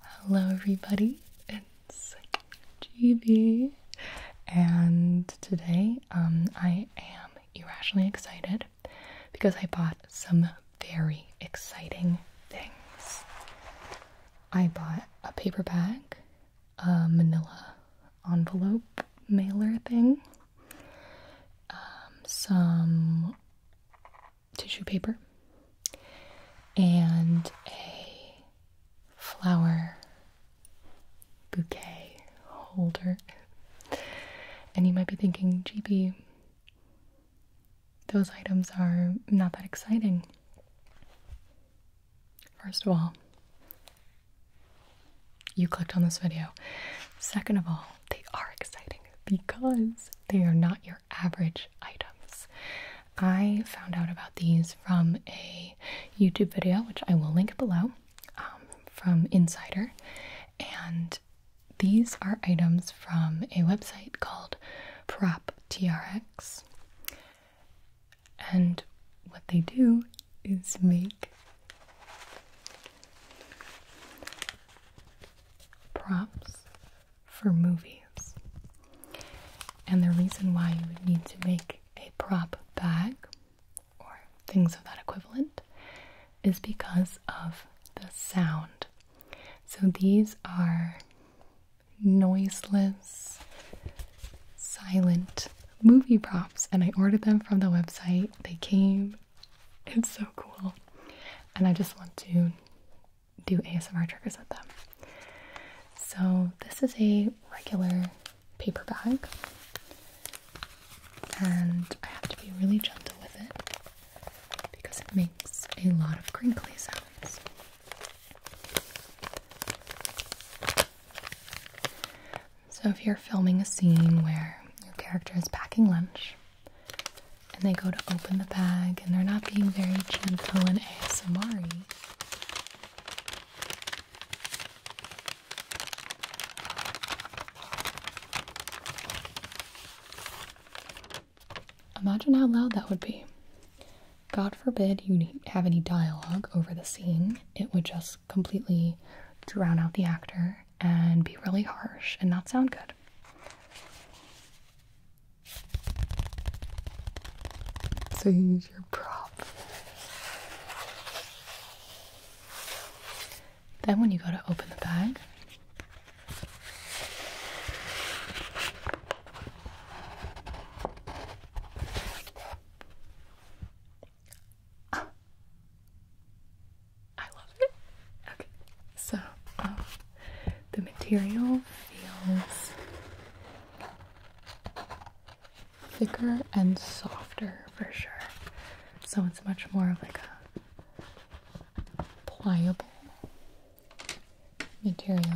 Hello, everybody, it's GB, and today um, I am irrationally excited because I bought some very exciting things. I bought a paper bag, a manila envelope mailer thing, um, some tissue paper and a flower bouquet holder. And you might be thinking, GB, those items are not that exciting. First of all, you clicked on this video. Second of all, they are exciting because they are not your average items. I found out about these from a YouTube video, which I will link below, um, from Insider. And these are items from a website called Prop TRX. And what they do is make props for movies. And the reason why you would need to make a prop bag or things of that equivalent is because of the sound. So these are noiseless, silent movie props, and I ordered them from the website. They came, it's so cool. And I just want to do ASMR triggers with them. So this is a regular paper bag, and I have to be really gentle with it because it makes a lot of crinkly sounds. So if you're filming a scene where your character is packing lunch and they go to open the bag and they're not being very gentle and ASMR Imagine how loud that would be. God forbid you have any dialogue over the scene, it would just completely drown out the actor and be really harsh and not sound good. So you use your prop. Then when you go to open the bag, I love it. Okay, so um, the material feels thicker and softer for sure. So it's much more of like a pliable material.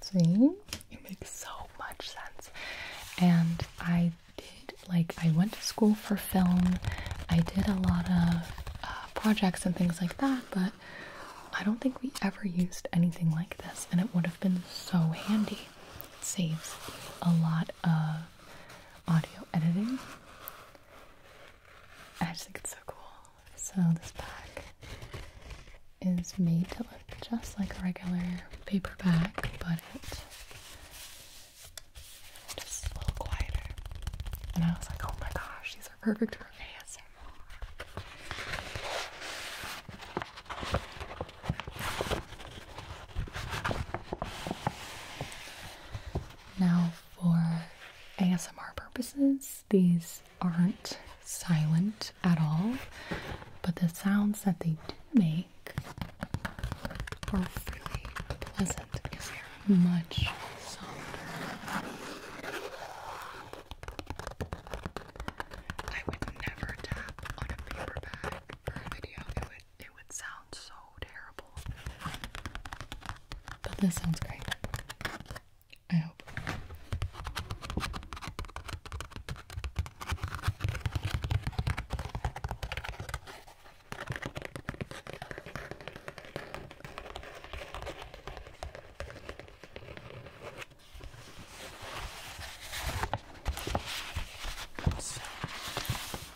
See? It makes so much sense. And I did, like, I went to school for film. I did a lot of uh, projects and things like that, but I don't think we ever used anything like this, and it would have been so handy. It saves a lot of audio editing. I just think it's so cool. So this pack is made to look just like a regular paperback, but it's just a little quieter. And I was like, oh my gosh, these are perfect for ASMR. Now for ASMR purposes. These aren't silent at all, but the sounds that they do make are really pleasant because they're much softer. I would never tap on a paper bag for a video. It would it would sound so but this sounds great. I hope.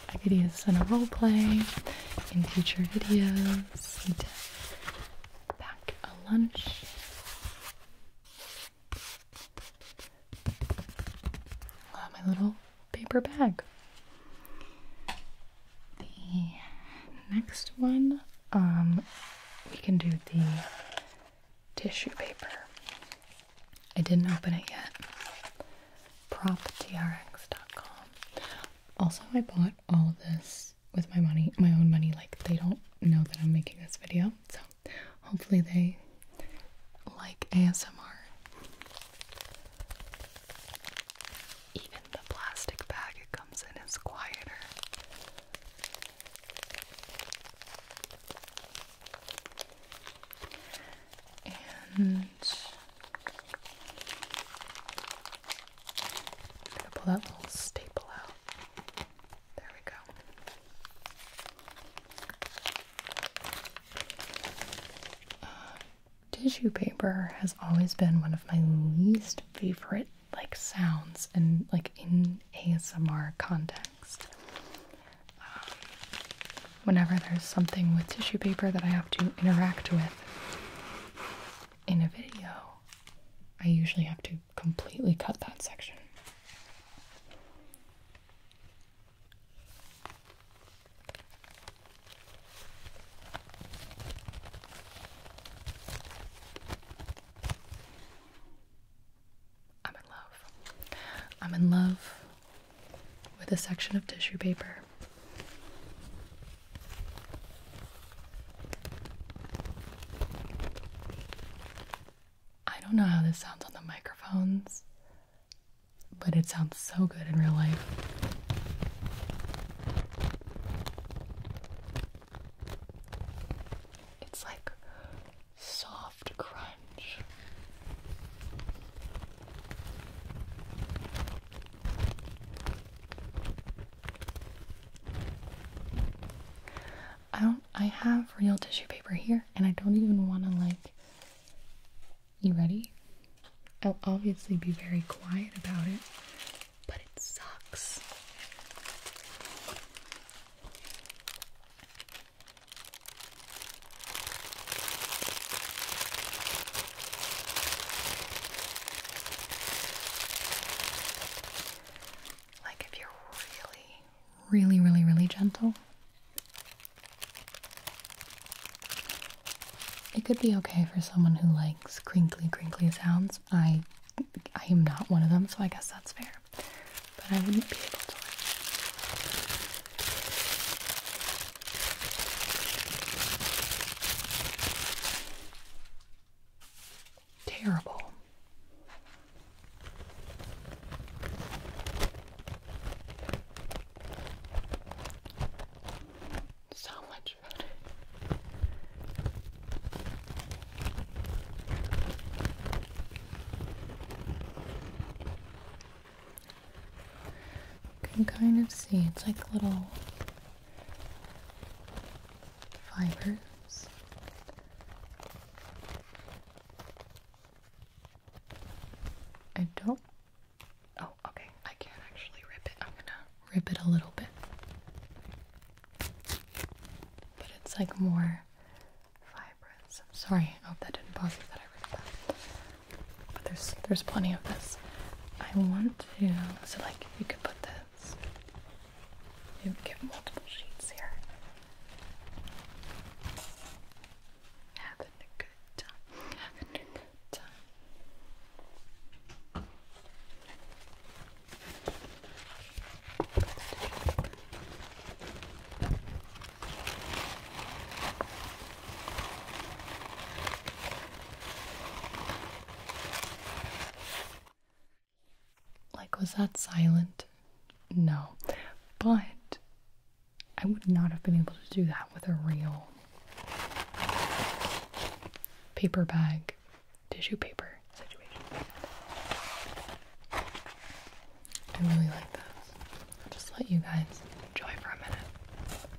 I could use this in role play in future videos. Back a lunch. Love my little paper bag. The next one, um, we can do the tissue paper. I didn't open it yet. PropTRX.com. Also, I bought all of this with my money, my own money. Like, they don't know that I'm making this video, so hopefully, they like ASMR. Even the plastic bag it comes in is quieter. And I'm gonna pull that little staple out. There we go. Uh, tissue paper has always been one of my least favorite like sounds and like in ASMR context. Um, whenever there's something with tissue paper that I have to interact with, in a video, I usually have to completely cut that section. I'm in love. I'm in love with a section of tissue paper I don't know how this sounds on the microphones, but it sounds so good in real life. It's like soft crunch. I don't I have real tissue paper here and I don't even want to like you ready? I'll obviously be very quiet about it, but it sucks. Like if you're really, really, really, really gentle, it could be okay for someone who likes crinkly, crinkly sounds. I, I am not one of them, so I guess that's fair. But I wouldn't be able to. Like Terrible. So much better. can kind of see it's like little fibers. I don't. Oh, okay. I can't actually rip it. I'm gonna rip it a little bit. But it's like more fibrous. I'm sorry. I hope that didn't bother you that I ripped that. But there's there's plenty of this. I want to. So you could put this. You would get multiple sheets here. Having a good time. Having a good time. Like, was that silent? No. But I would not have been able to do that with a real paper bag, tissue paper situation. I really like those. I'll just let you guys enjoy for a minute.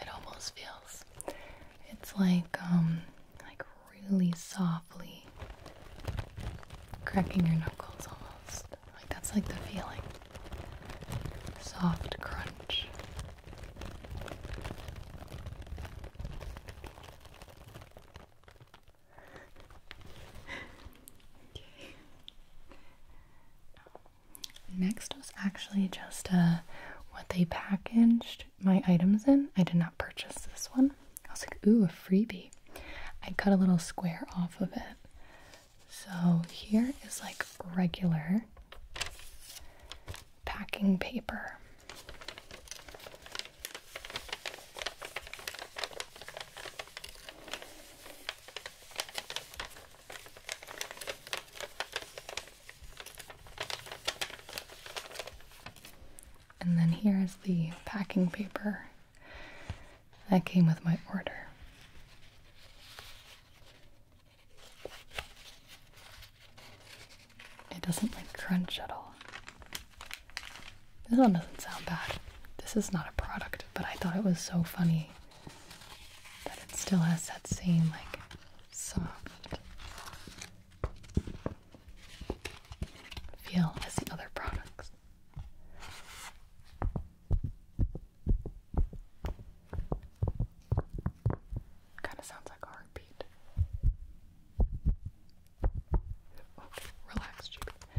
It almost feels it's like um, like really softly cracking your knuckles almost. Like that's like the feeling. Soft crunch. okay. Next was actually just uh, what they packaged my items in. I did not purchase this one. I was like, ooh, a freebie. I cut a little square off of it. So here is like regular packing paper. And then here is the packing paper that came with my order. It doesn't like crunch at all. This one doesn't sound bad. This is not a product, but I thought it was so funny but it still has that same like soft feel as the other products. Kind of sounds like heartbeat. Okay, relax, Juby.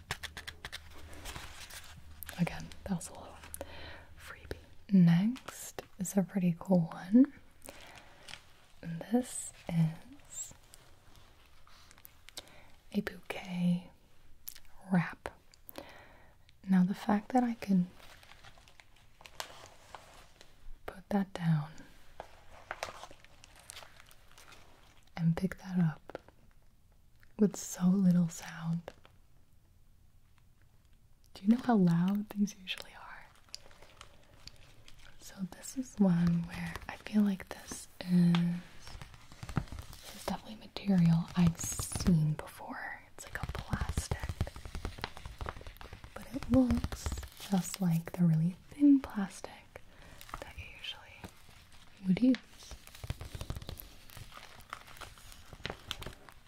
Again, that was a little freebie. Next is a pretty cool one. And this is a bouquet wrap. Now, the fact that I can put that down and pick that up with so little sound. Do you know how loud these usually are? So this is one where I feel like this is definitely material I've seen before. It's like a plastic. But it looks just like the really thin plastic that you usually would use.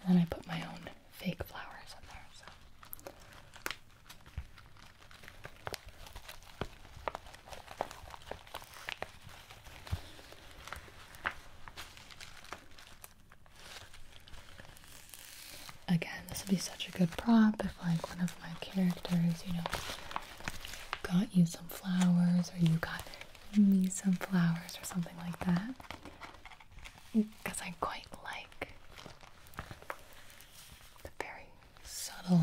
And I put my own fake flowers in there. So. Again, this would be such a good prop if, like, one of my characters, you know, got you some flowers or you got me some flowers or something like that. Because I quite like the very subtle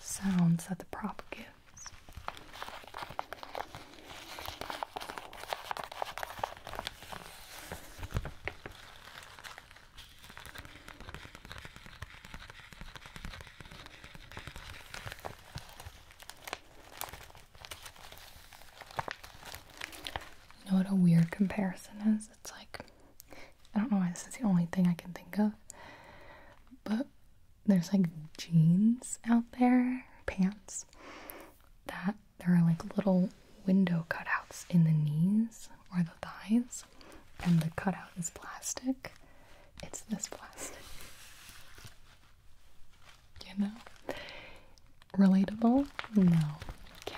sounds that the prop gives. You know what a weird comparison is? It's like, I don't know why this is the only thing I can think of, but there's like jeans out there, pants, that there are like little window cutouts in the knees or the thighs, and the cutout is plastic. It's this plastic. You know? Relatable? No. Okay.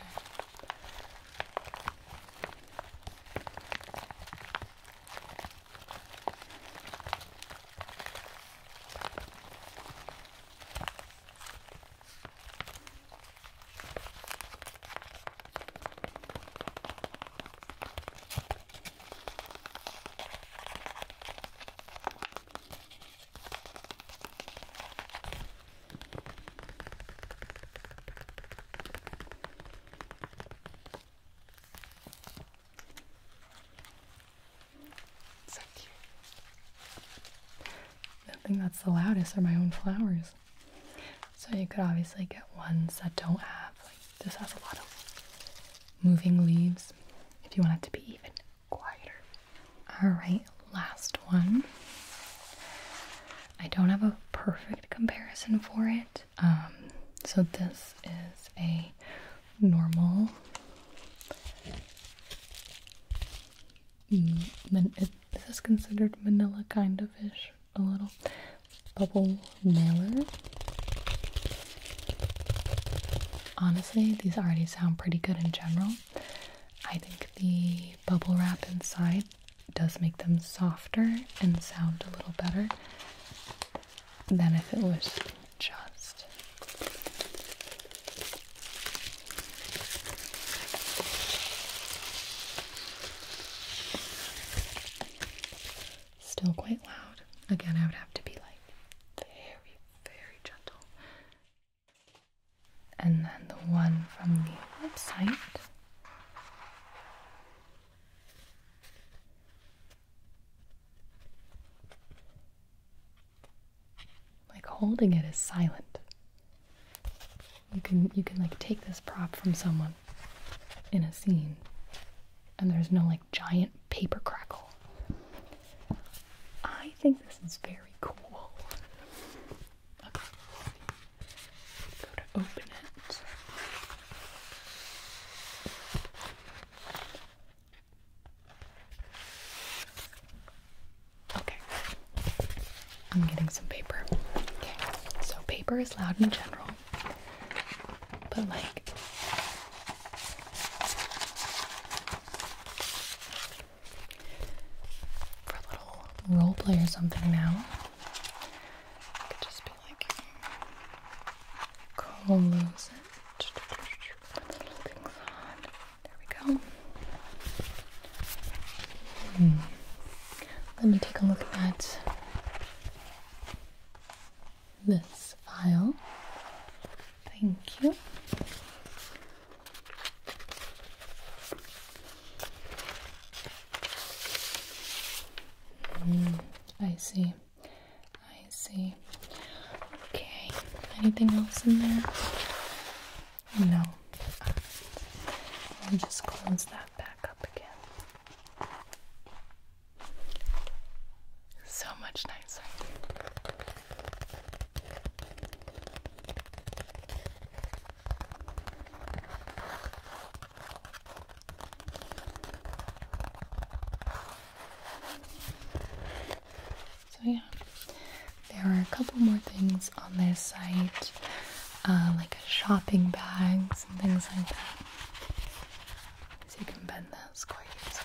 So cute. I think that's the loudest are my own flowers. So you could obviously get ones that don't have like this has a lot of moving leaves if you want it to be even quieter. All right, last one. I don't have a perfect comparison for it. Um, so this is a normal. this is considered Manila kind of ish a little. Bubble Mailer. Honestly, these already sound pretty good in general. I think the bubble wrap inside does make them softer and sound a little better than if it was just Still quite loud. Again, I would have to be like very, very gentle. And then the one from the website. Like holding it is silent. You can you can like take this prop from someone in a scene and there's no like giant paper crackle. I think this is very cool. Okay. Go to open it. Okay. I'm getting some paper. Okay. So paper is loud in general. But like for a little role play or something now, could just be like close it. There we go. Hmm. Let me take a look at that this file. Thank you. Hmm, I see. I see. Okay. Anything else in there? No. Right. We'll just close that back up again. So much nicer. So, yeah, there are a couple more things on their site, uh, like shopping bags and things like that. So, you can bend them this quite easily.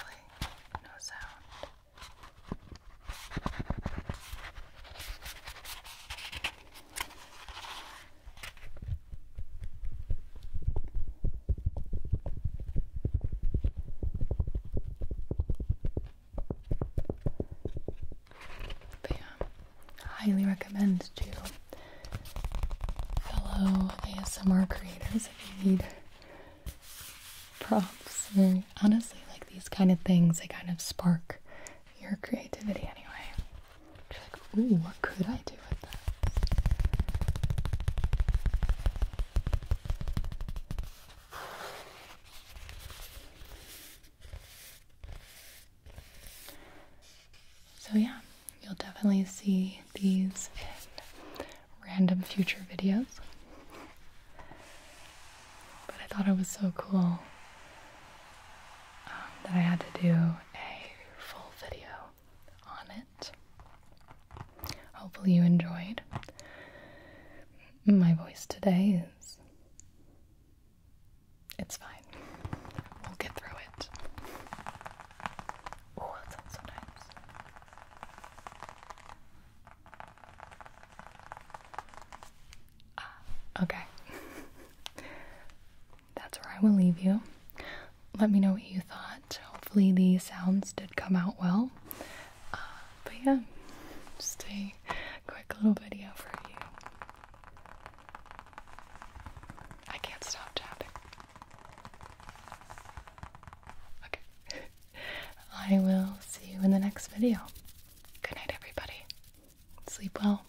highly recommend to fellow ASMR creators if you need props or honestly like these kind of things they kind of spark your creativity anyway. like, ooh, what could I do with that? So yeah, You'll definitely see these in random future videos. But I thought it was so cool um, that I had to do a full video on it. Hopefully, you enjoyed. My voice today is. It's fine. We'll get through it. Oh, that sounds so nice. Ah, okay. That's where I will leave you. Let me know what you thought. Hopefully, the sounds did come out well. Ah, but yeah, just a quick little video for you. I can't stop tapping. Okay. I will see you in the next video. Good night, everybody. Sleep well.